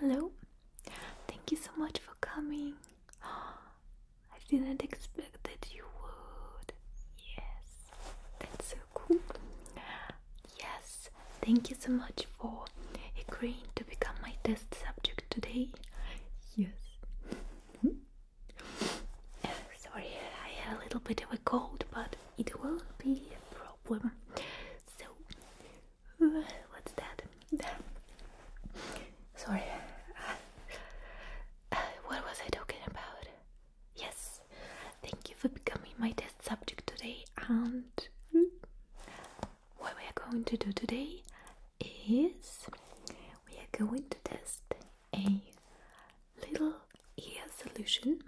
Hello, thank you so much for coming. I didn't expect that you would. Yes, cool. Yes, thank you so much for agreeing to become my test subject today. Yes. Hmm? uh, sorry, I had a little bit of a cold, but it won't be a problem. So, uh, what's that? sorry. Uh, uh, what was I talking about? Yes, thank you for becoming my test subject today. And what we are going to do today is we are going to test a little ear solution.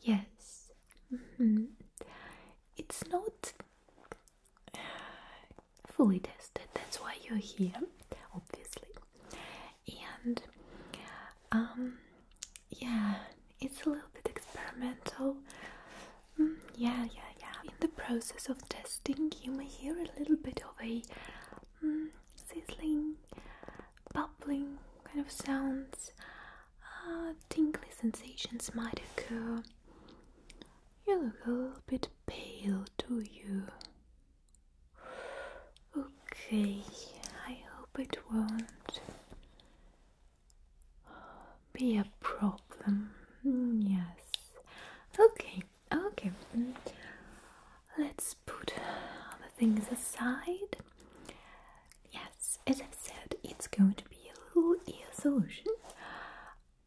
Yes, mm-hmm. it's not fully tested, that's why you're here, obviously. And um, yeah, it's a little bit experimental. Mm, yeah, yeah, yeah. In the process of testing, you may hear a little bit of a mm, sizzling, bubbling kind of sounds. Uh, tingly sensations might occur. You look a little bit pale, do you? Okay, I hope it won't be a problem. Mm, yes. Okay, okay. Let's put the things aside. Yes, as i said, it's going to be a little ear solution.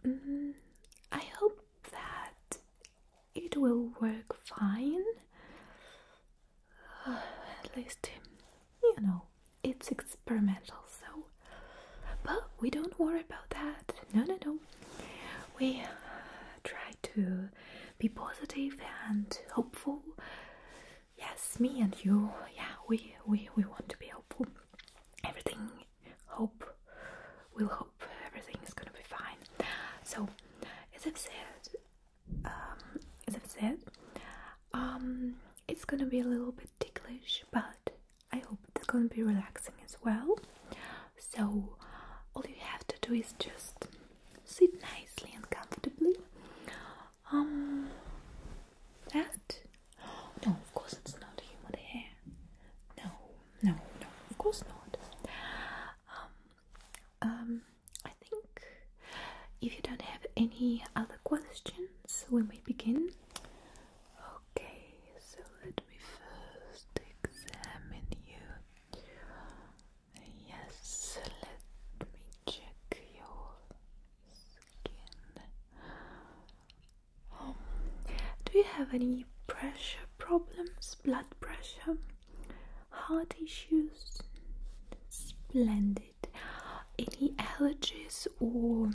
Mm, I hope that it will work fine. At least, you know, it's experimental, so. But we don't worry about that. No, no, no. We uh, try to be positive and hopeful. Yes, me and you. Yeah, we we we want to be hopeful. Everything, hope. will hope everything is gonna be fine. So, as I've said, um, as I said, um, it's gonna be a little bit ticklish, but I hope it's gonna be relaxing as well. So, all you have to do is just sit nicely and comfortably. Um, that? No, of course it's not human hair. No, no, no, of course not um, I think if you don't have any other questions, we may begin. Okay, so let me first examine you. Yes, let me check your skin. Um, do you have any pressure problems, blood pressure? heart issues? Splendid. Any allergies or,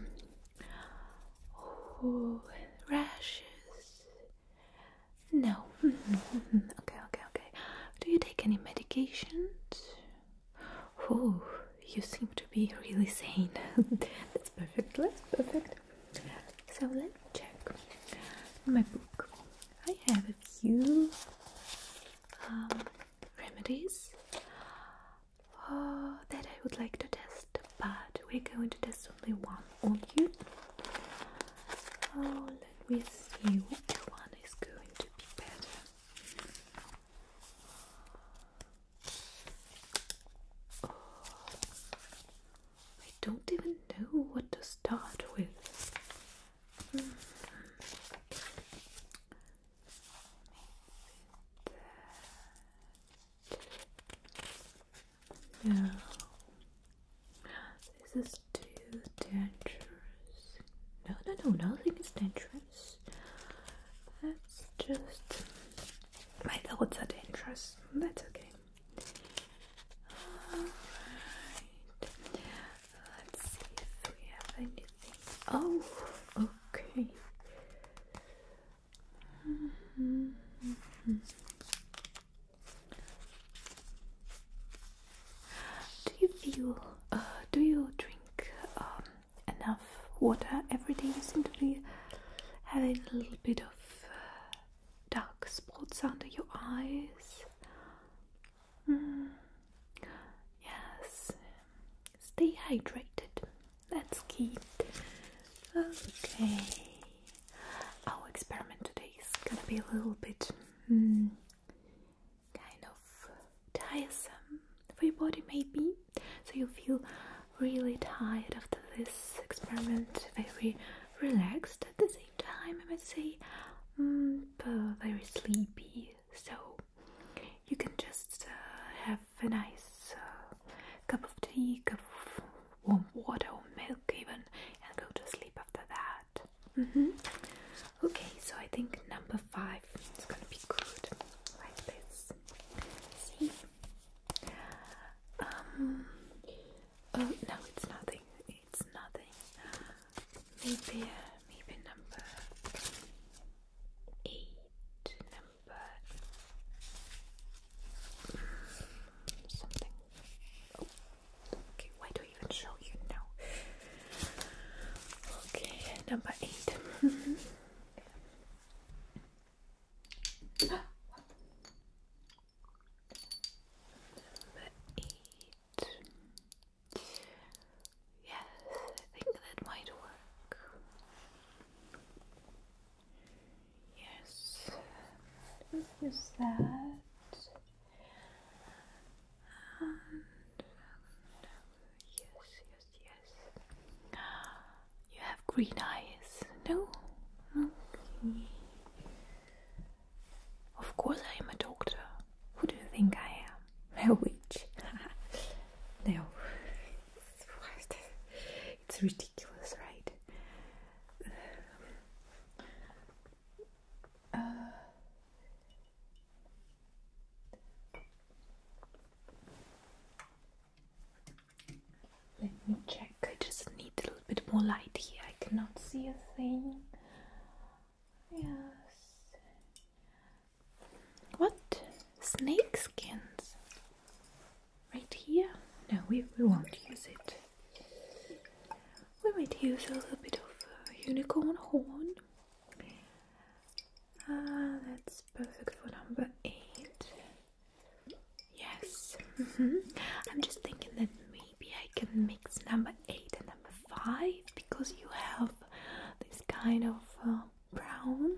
rashes? No. okay, okay, okay. Do you take any medications? Oh, you seem to be really sane. That's perfect. That's perfect. So let us check my book. I have a few um, remedies uh, that I would like to test, but we're going to test only one on you. Oh, let me see which one is going to be better. Oh, I don't even know what to start with. Mm No, this is too dangerous. No, no, no, nothing is dangerous. That's just my thoughts are dangerous. That's okay. Alright. Let's see if we have anything. Oh, okay. Do you feel? Uh, do you drink um, enough water every day? You seem to be having a little bit of uh, dark spots under your eyes. Yes, stay hydrated. That's key. Okay, our experiment today is gonna be a little bit hmm, kind of tiresome for your body, maybe. So you will feel really tired after this experiment, very relaxed at the same time, I must say, mm, very sleepy. So you can just uh, have a nice uh, cup of tea, cup of warm water or milk even, and go to sleep after that. Mm -hmm. Okay, so I think number five is gonna be good, like this. See? Um, oh, no, it's nothing. It's nothing maybe uh, maybe number eight, number mm, something. Oh, okay. Why do I even show you now? Okay, number eight. number eight. Yes, I think that might work. Yes, let that. And, um, yes, yes, yes. You have green eyes, no? Okay. Of course I am a doctor. Who do you think I am? A witch. no. It's ridiculous, right? Uh, let me check. I just need a little bit more light here. I cannot see a thing. Yes. What? Snake skins? Right here? No, we, we won't use it. We might use a little bit of uh, unicorn horn. Ah, that's perfect for number eight. Yes. Mm -hmm. I'm just thinking that maybe maybe I can mix number 8 and number 5 because you have this kind of uh, brown,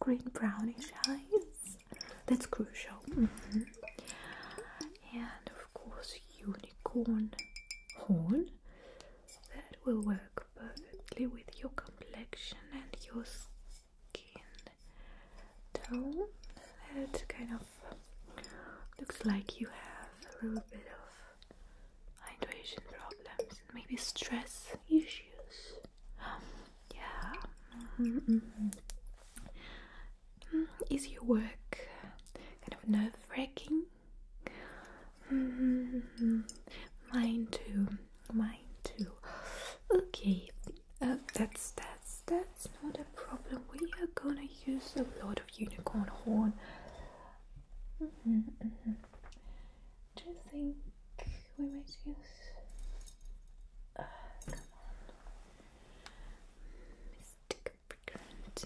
green brownish eyes. That's crucial. Mm-hmm. And of course, unicorn horn. That will work perfectly with your complexion and your skin tone. That's kind of Looks like you have a little bit of hydration problems, maybe stress issues. yeah. Mm-hmm, mm-hmm. Mm, is your work kind of nerve wracking? Mm-hmm, mine too. Mine too. Okay, uh, that's that's that's not a problem. We are gonna use a lot of unicorn horn. Mm-hmm, mm-hmm. Do you think we uh, might use?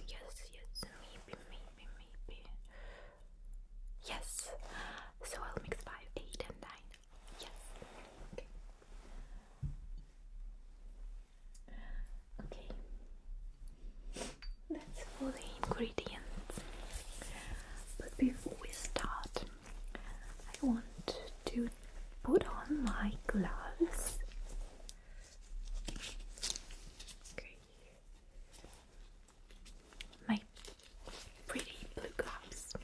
Yes, yes, maybe, maybe, maybe. Yes. So I'll mix five, eight, and nine. Yes. Okay, that's for the ingredients. But before we start, I want to put on my gloves. Okay. My pretty blue gloves.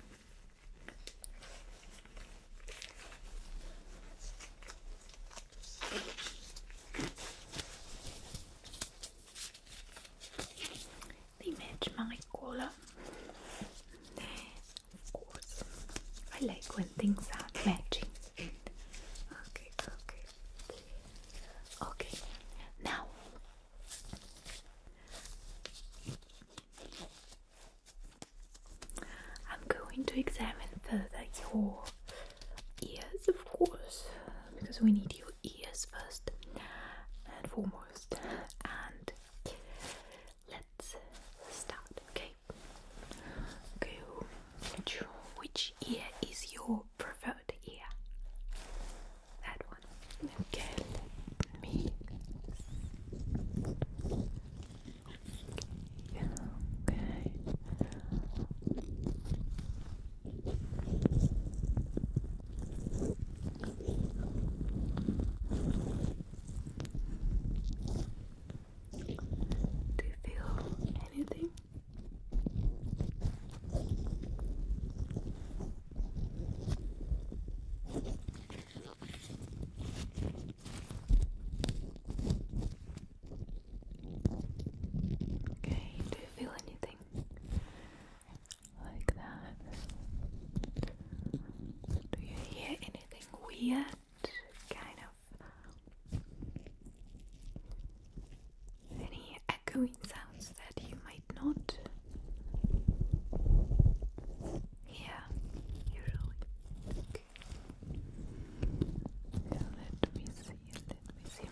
They match my color. Of course, I like when things are matching. Okay, okay, okay. Now. I'm going to examine further your ears, of course, because we need your ears first and foremost. And let's start, okay? Okay, which, ear is your preferred ear? That one. Okay, me Okay. Do you feel anything? Okay, do you feel anything like that? Do you hear anything weird? Kind of any echoing sounds that you might not hear usually let me see, let me see.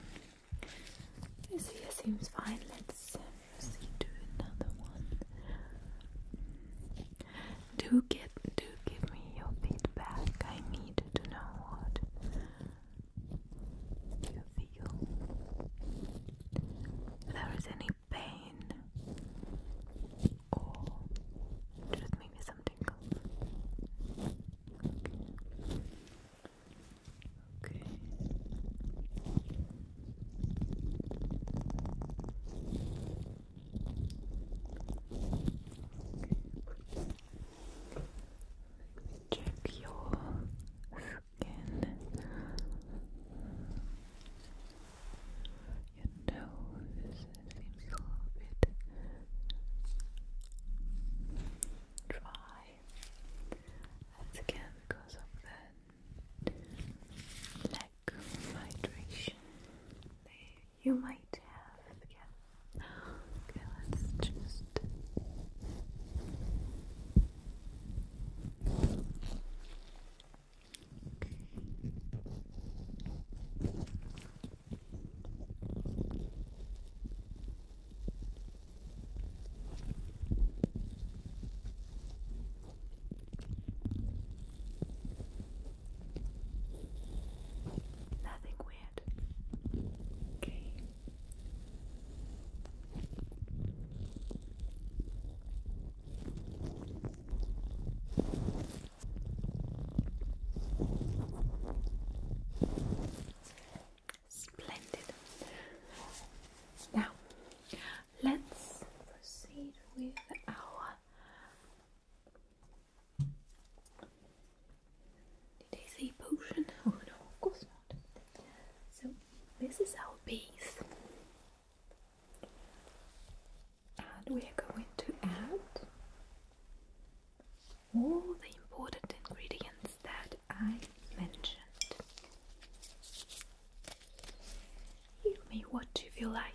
This here seems fine. Let's um, see. proceed another one. Do get, do give me your feedback. I need to know what you feel. there is any pain or oh. just maybe some tingles. Okay. Check your skin, your nose, it seems a little bit dry. That's again because of the lack of hydration you might have. Okay, let's just. Nothing weird. Okay. Splendid. Now, let's proceed with our did they say potion? Oh no, of course not. So this is our base and we are going to add all the important ingredients that I mentioned. You me what if you like.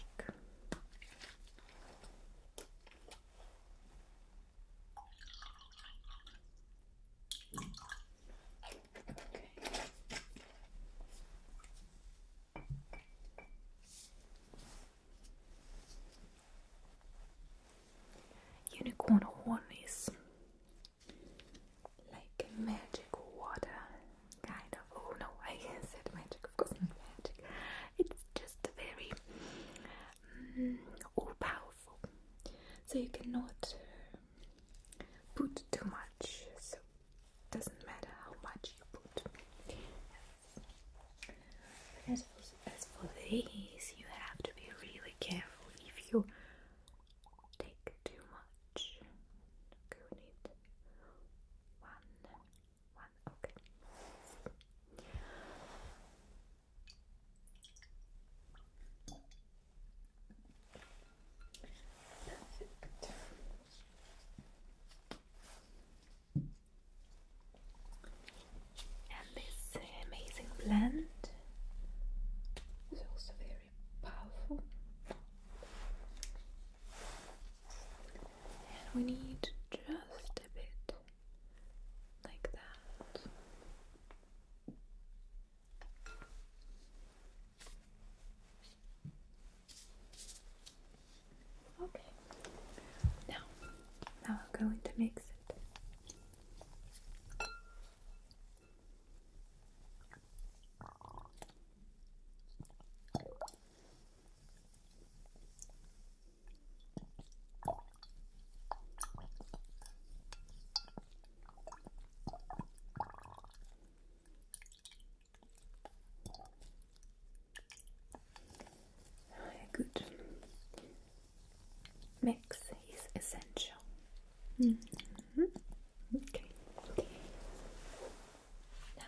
Unicorn horn is like magic water, kind of. Oh no, I said magic, of course, not magic. It's just very mm, powerful, so you cannot uh, put too much. So doesn't matter how much you put. As for, as for these, you have to be really careful if you take too much. Okay, need one, one, okay. And this uh, amazing blend is also very powerful. And we need just a bit like that. Okay. Now, now I'm going to mix it. A good mix is essential. Mm-hmm. Okay. Now,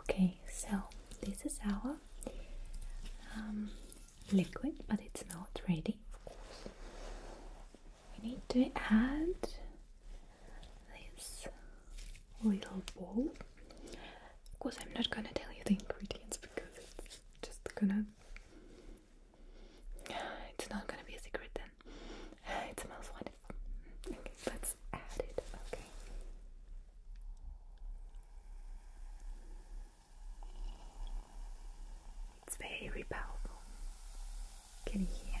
okay, so this is our um, liquid, but it's not ready, of course. We need to add this little bowl. Of course, I'm not gonna tell you the ingredients because it's just gonna. It's not gonna be a secret then. It smells wonderful. Okay, let's add it, okay. It's very powerful. Can you hear?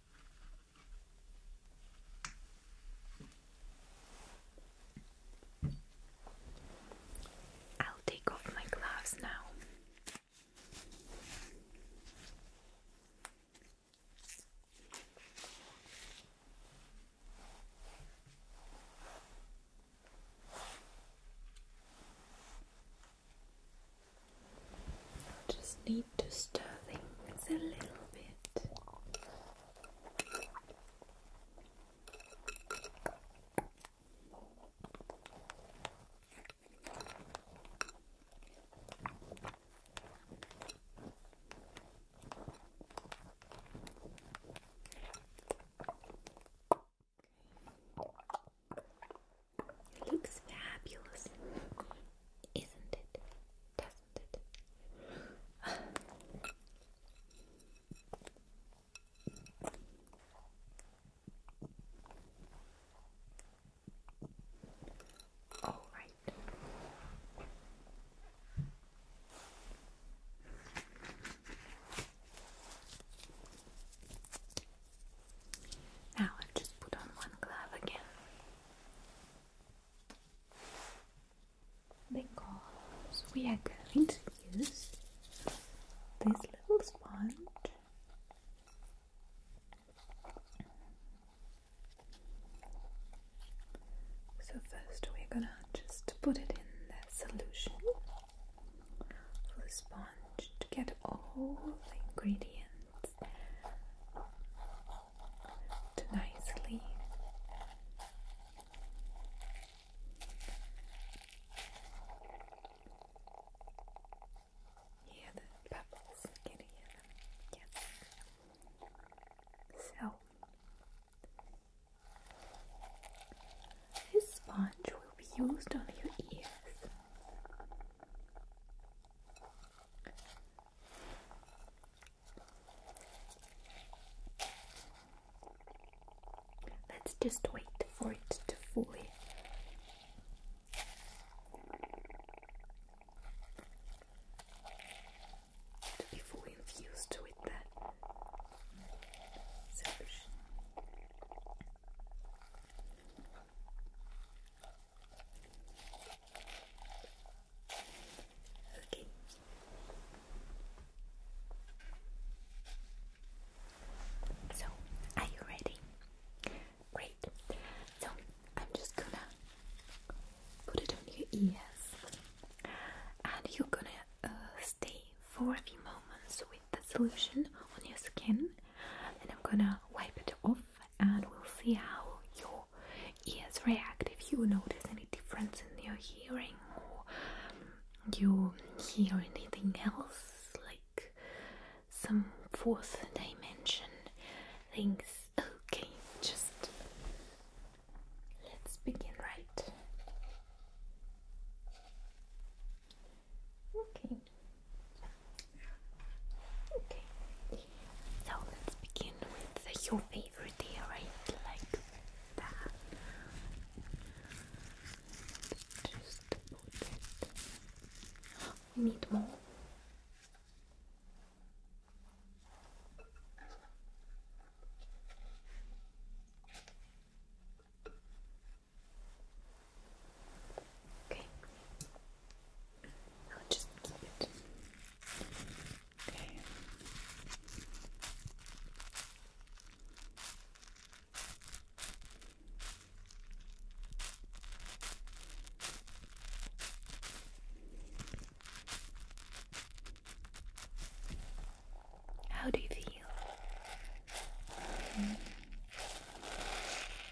I'll take off my gloves now. Just need to stir things a little bit. It Looks fabulous, isn't it? Doesn't it? All right. Now i just put on one glove again. Because we are going to use this little sponge so first we're gonna just put it in the solution the sponge to get all the ingredients to nicely hear the bubbles. Can you hear them? Yes. So this sponge will be used on your ears. Let's just wait for it to fully to be fully infused with that solution. Okay. So, are you ready? Great. So, I'm just gonna put it on your ears, and you're gonna uh, stay for a few moments the solution on your skin and I'm gonna wipe it off and we'll see how your ears react if you notice any difference in your hearing or um, you hear anything else like some fourth dimension things. Okay, just let's begin right. Okay. Okay. So let's begin with your favorite ear, Like that. Just put it. We need more. Okay. I'll just keep it. Okay. How do you feel? Mm-hmm.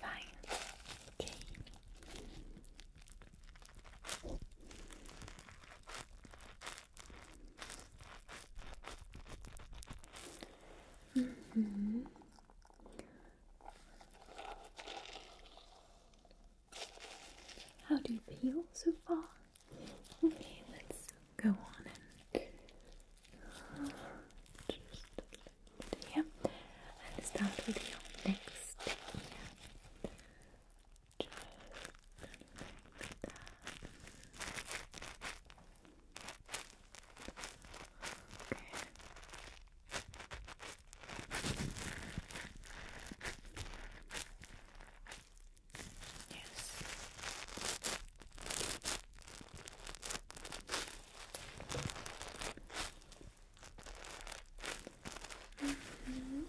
Fine. Okay. Mm -hmm. How do you feel so far? Okay, let's go on and uh, just here and start with your next Just like that. Okay. Yes. Mm -hmm.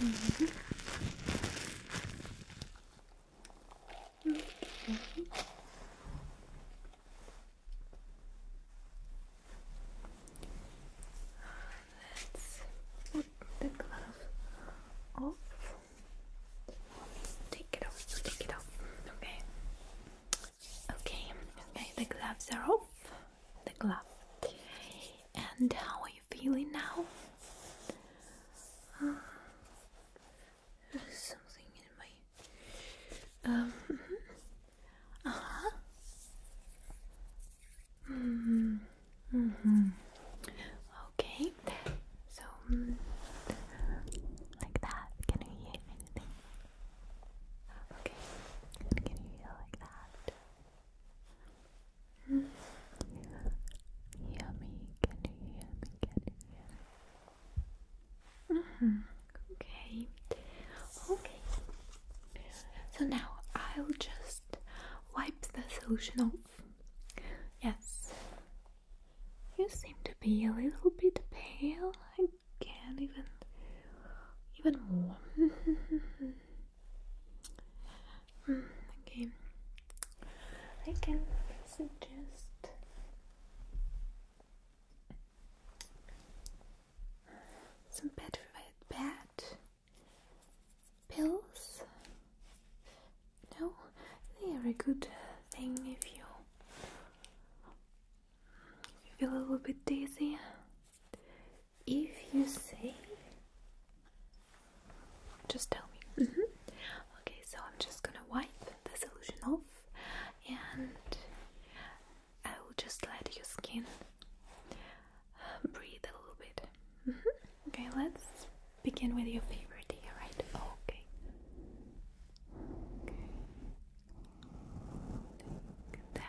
Mm Let's put the glove off. Take it off. Take it off. Okay. Okay, okay, the gloves are off. The glove. And how are you feeling now? Uh, something in my. Um. Mm-hmm. Uh huh. hmm. -hmm. Okay. So, mm, like that. Can you hear anything? Okay. Can you hear like that? Mm-hmm. Yummy, can you hear me? Can you hear Okay, okay. So now I'll just wipe the solution off. Yes, you seem to be a little bit pale can even even more. Hmm, okay, I can suggest some better bad pills. No, they are a good thing if you feel a little bit dizzy? If you say, just tell me. Mm-hmm. Okay, so I'm just gonna wipe the solution off and I will just let your skin breathe a little bit. Mm-hmm. Okay, let's begin with your favorite ear, right? Okay. Okay.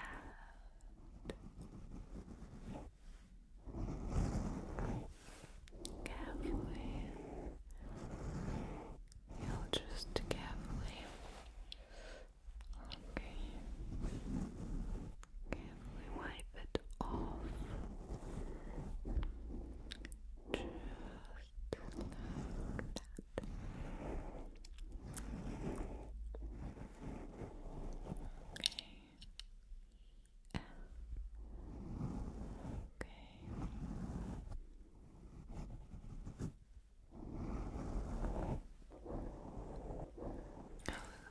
Carefully. you just carefully. Okay. Carefully wipe it off. Just that. Okay. Okay. A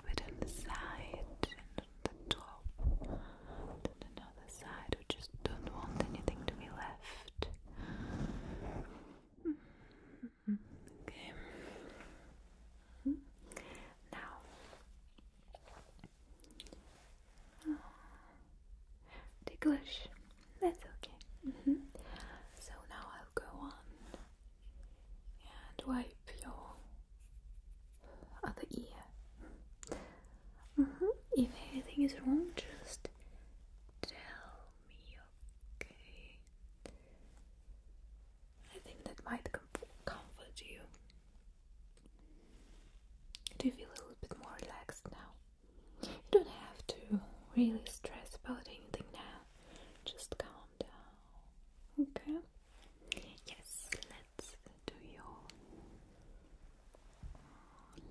little bit on the side and on the top, and another side. We just don't want anything to be left. Hmm. Okay. Now, oh, ticklish. That's okay. Mm-hmm. So now I'll go on and wipe your other ear. Mm-hmm. If anything is wrong, just tell me, okay? I think that might comfort you. Do you feel a little bit more relaxed now? You don't have to really stress about anything now. Just calm down, okay? Yes, let's do your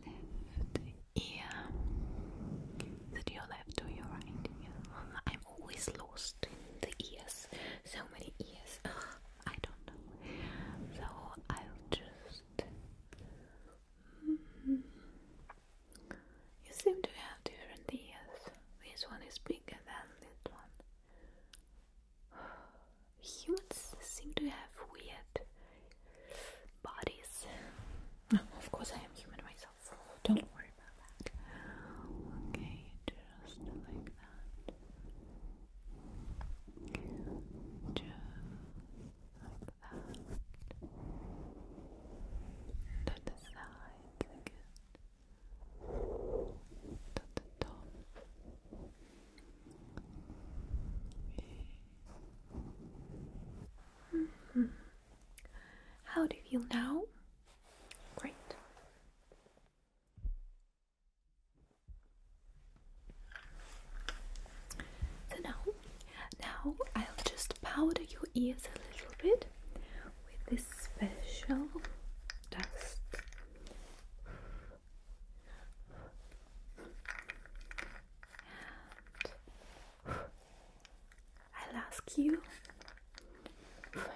left ear. Is your left or your right I'm always lost in the ears. So many ears. I don't know. So I'll just. You seem to have different ears. This one is bigger than this one. Humans seem to have weird bodies. of course, I am human myself. Don't worry about that. Okay, just like that. Just like that. To the sides again. To the top. -hmm. How do you feel now? Great. So now, now I'll just powder your ears a little bit with this special dust. I'll ask you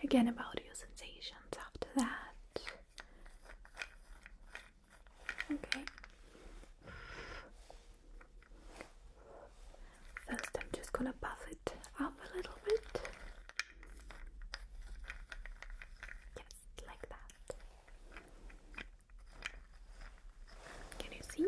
again about your sensations after that. Okay. First, I'm just gonna buff it up a little bit. Yes, like that. Can you see?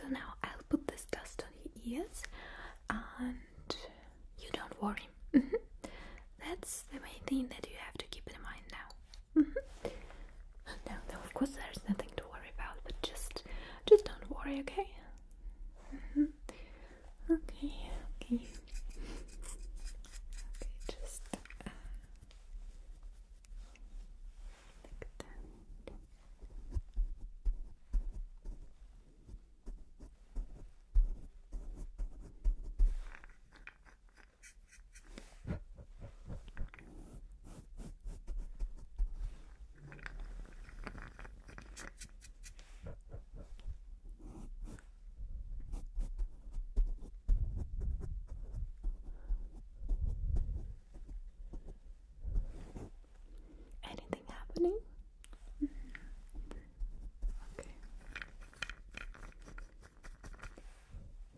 So now I'll put this dust on your ears and you don't worry. That's the main thing that you have to keep in mind now. Mm-hmm. No, no, of course there's nothing to worry about, but just just don't worry, okay? Mm-hmm. Okay, okay. Okay, just uh, like that. Okay. Anything happening? Mm-hmm. okay.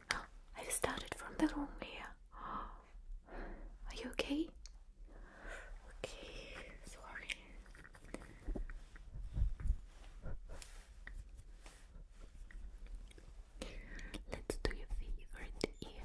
I've started from the wrong way. Are you okay? Okay, sorry. Let's do your favorite ear,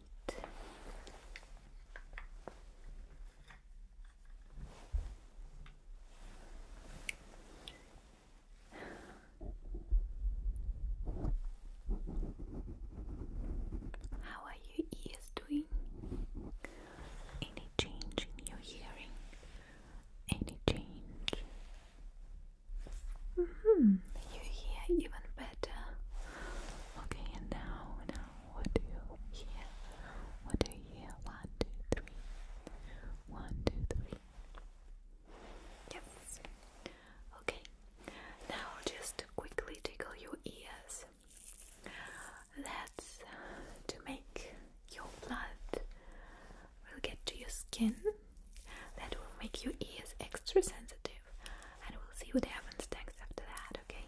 right. How are your ears doing? Any change in your hearing? Any change? Mm-hmm. You hear even better. Okay, and now what do you hear? What do you hear? One, two, three. One, two, three. Yes. Okay. Now just quickly tickle your ears. That's to make your blood will get to your skin. That will make your ears extra sensitive. And we'll see what happens next after that, okay?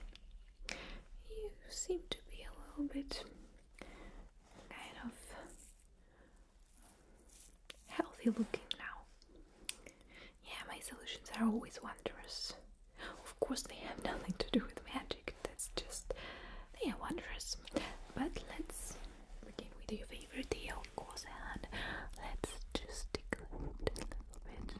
You seem to be a little bit kind of healthy looking now. Yeah, my solutions are always wondrous. Of course, they have nothing to do with magic, that's just. they are wondrous. But let's begin with your favorite deal, of course, and let's just tickle it a little bit.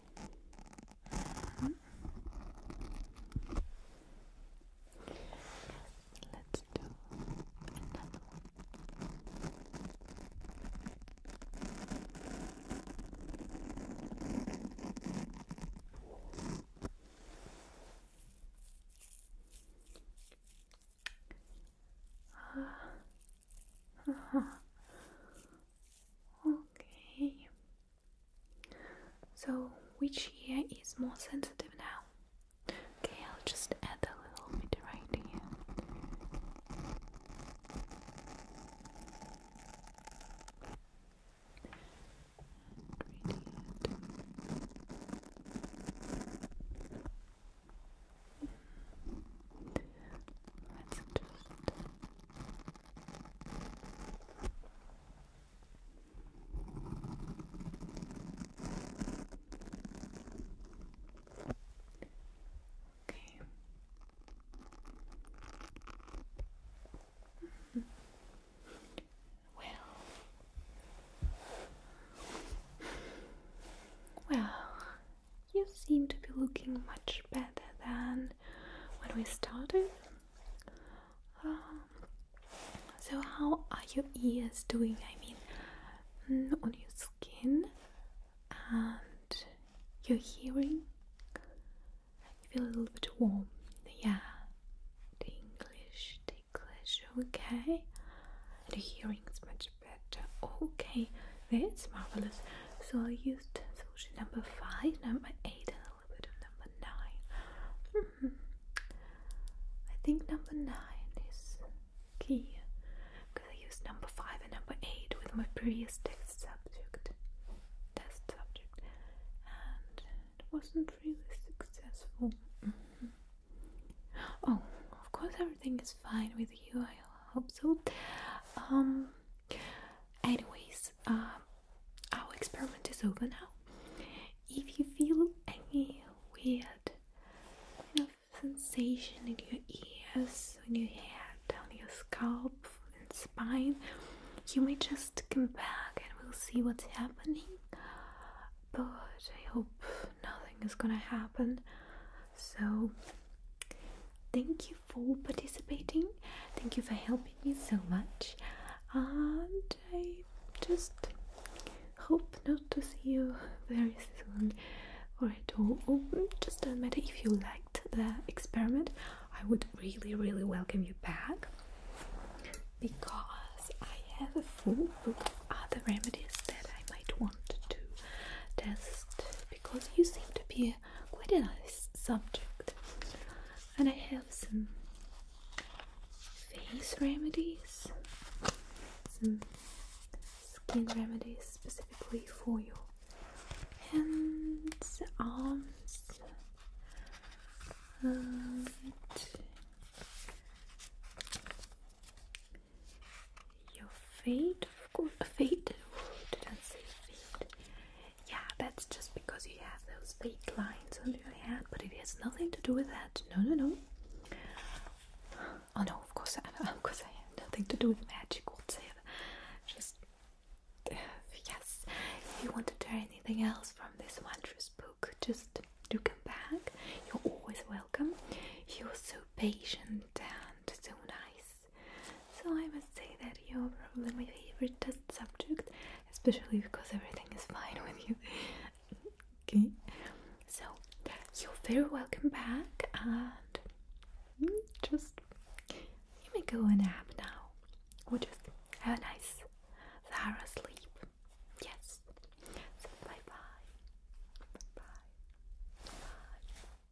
Mm Let's do another one. Uh, okay. So, which ear is more sensitive now? Okay, I'll just add a little bit right here. Let's just Okay. well, well, you seem to be looking much better than when we started. Um, so, how are your ears doing? I mean, mm, on your skin and your hearing? I feel a little bit warm, yeah. the English, the English, okay. The hearing's much better. Okay, that's marvelous. So I used solution number five, number eight, and a little bit of number nine. Mm-hmm. I think number nine is key because I used number five and number eight with my previous test subject, test subject, and it wasn't really successful. Mm-hmm. Oh, of course, everything is fine with you. I hope so. Um, Anyways, um, our experiment is over now. If you feel any weird kind of sensation in your ears, in your head, on your scalp, and spine, you may just come back and we'll see what's happening. But I hope nothing is gonna happen. So, thank you for participating. Thank you for helping me so much. And I just hope not to see you very soon or at oh, mm, just doesn't matter if you liked the experiment. I would really, really welcome you back because I have a full book of other remedies that I might want to test because you seem to be quite a nice subject. And I have some face remedies, some skin remedies specifically for your Hands, arms, your feet course, faded. Didn't say fade. Yeah, that's just because you have those fade lines on your head, but it has nothing to do with that. No, no, no. Oh no, of course, I, of course, I had nothing to do with magic whatsoever. Just uh, yes. If you want to try anything else from this wondrous book, just do come back. You're always welcome. You're so patient and so nice. So I must say that you're probably my favorite test subject, especially because everything is fine with you. okay, so you're very welcome back, and mm, just you may go and nap now, or just have a nice, thorough sleep. Yes. bye bye. Bye bye. Bye.